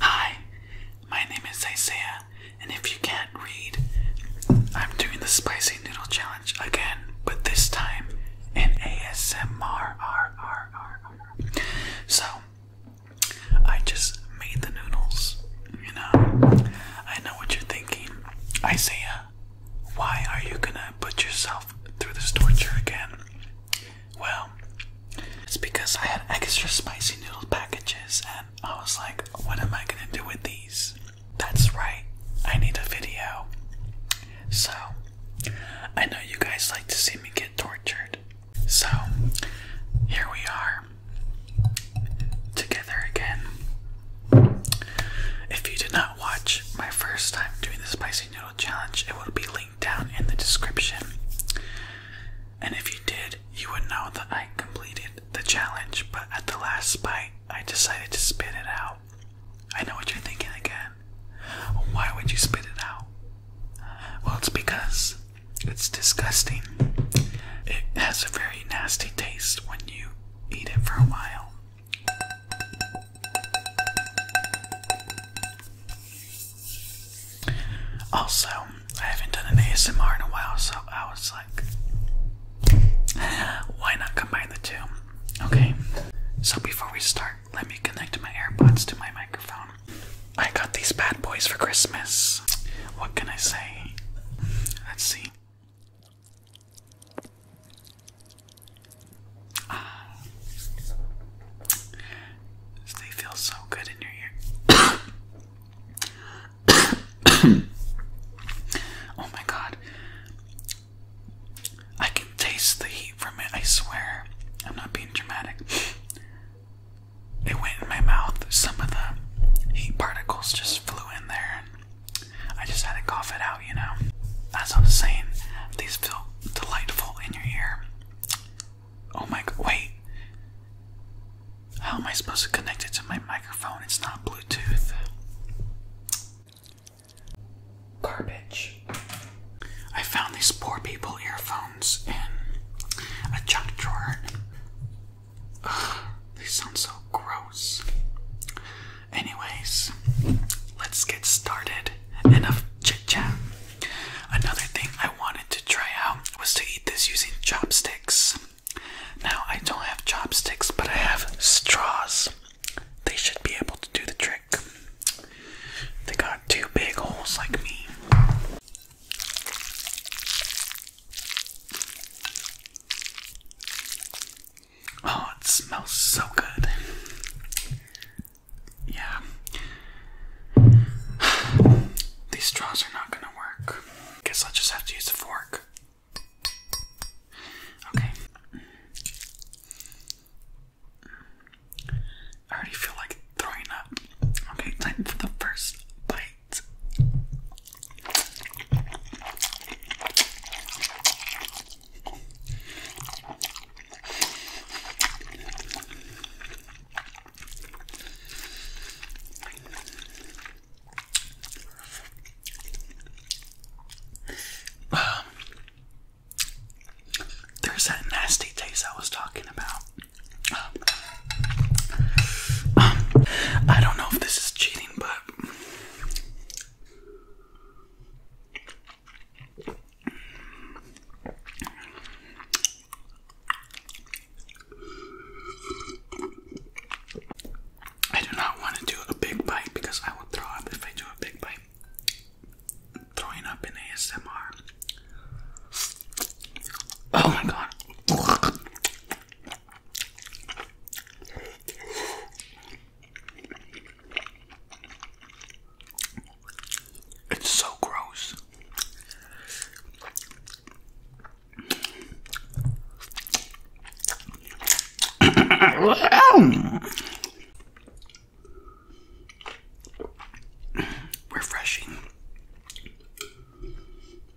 Hi, my name is Isaiah, and if you can't read, I'm doing the spicy noodle challenge again, but this time in ASMR. So, I just made the noodles, you know. I know what you're thinking, Isaiah. Why are you gonna put yourself through this torture again? Well, it's because I had extra spicy noodle packages and I was like, what am I gonna do with these? That's right, I need a video. So, I know you guys like to see me get tortured. So, here we are, together again. If you did not watch my first time doing the spicy noodle challenge, it will be linked down in the description. And if you did, you would know that I completed the challenge, but at the last bite, I decided to spit it out. I know what you're thinking again. Why would you spit it out? Well, it's because it's disgusting. It has a very nasty taste when you eat it for a while. Also, I haven't done an ASMR in a while, so I was like, why not combine the two? Okay, so before we start, let me connect my AirPods to my microphone. I got these bad boys for Christmas. What can I say? Let's see. Ah. They feel so good in your ear. oh my god. I can taste the heat from it, I swear. I'm not being dramatic. It went in my mouth. Some of the heat particles just flew in there. I just had to cough it out, you know? As I was saying, these feel delightful in your ear. Oh my god! wait. How am I supposed to connect it to my microphone? It's not Bluetooth. Garbage. I found these poor people earphones in a junk drawer. they sound so gross. Anyways, let's get started. Enough chit chat. Another thing I wanted to try out was to eat this using chopsticks. Now, I don't have chopsticks, but I have straws. They should be able to do the trick. They got two big holes like me. Oh, it smells so good. Yeah. These straws are not gonna work. Guess I'll just have to use a fork. Okay. I already feel like throwing up. Okay, time for the first bite. Um, there's that nasty taste I was talking about. Um, I don't know if this is cheating, but I do not want to do a big bite because I will throw up if I do a big bite. Throwing up in ASMR. Oh my god. It's so gross. Refreshing.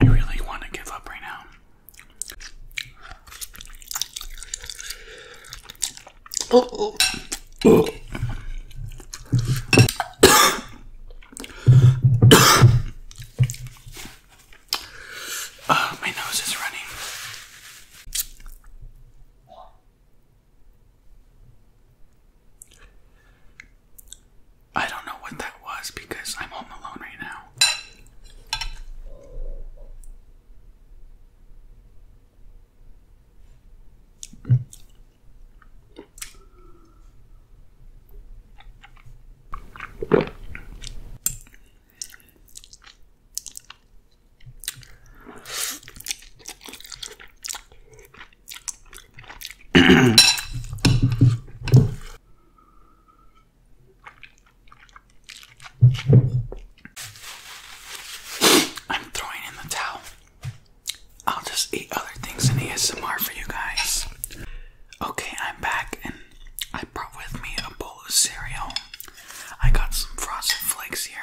I really want to give up right now. Oh, oh, my nose is running. I don't know what that was because I'm home alone right now. I'm throwing in the towel. I'll just eat other things in the ASMR for you guys. Okay, I'm back and I brought with me a bowl of cereal. I got some frosted flakes here.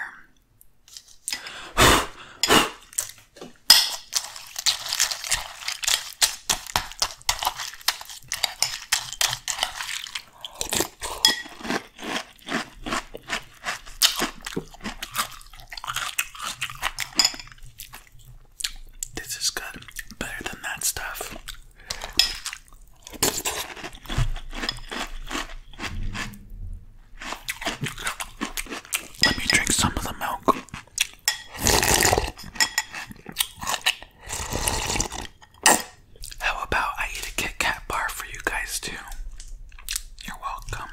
This is good, better than that stuff. Let me drink some of the milk. How about I eat a Kit Kat bar for you guys too? You're welcome.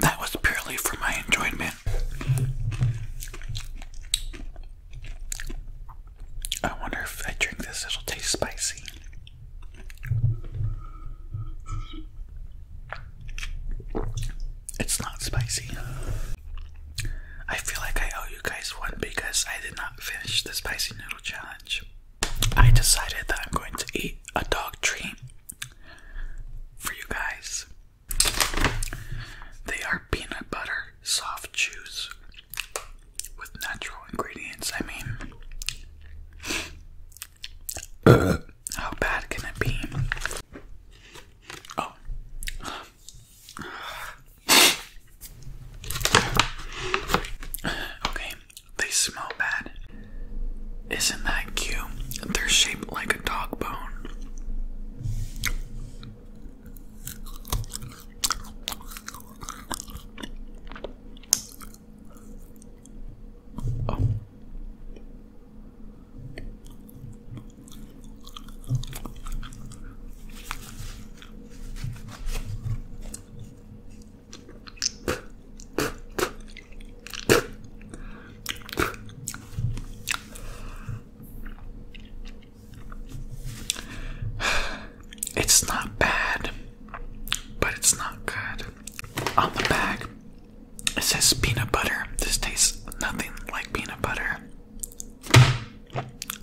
That was purely for my enjoyment. I wonder if I drink this, it'll taste spicy. It's not spicy. I feel like I owe you guys one because I did not finish the spicy noodle challenge. I decided that I'm going to eat a dog treat for you guys. They are peanut butter soft chews with natural ingredients. I mean, uh, how bad can it be? Oh. Okay, they smell bad. Isn't that cute? They're shaped like a dog bone. It's not bad, but it's not good on the bag, it says peanut butter. This tastes nothing like peanut butter.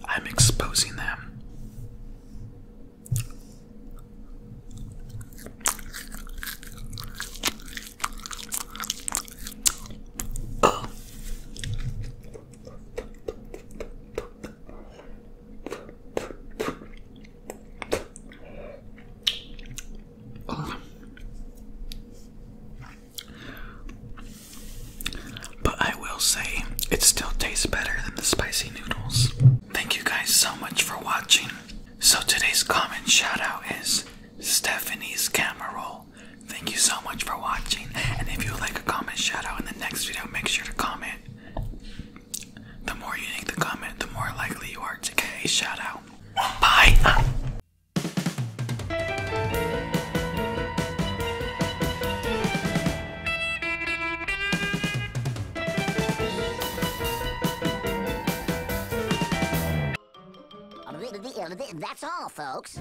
I'm exposing them. But I will say, it still tastes better than the spicy noodles. Thank you guys so much for watching. So today's comment shout out is Stephanie's camera roll. Thank you so much for watching. And if you would like a comment shout out in the next video, make sure to comment. The more you make the comment, the more likely you are to get a shout out. Bye! That's all, folks.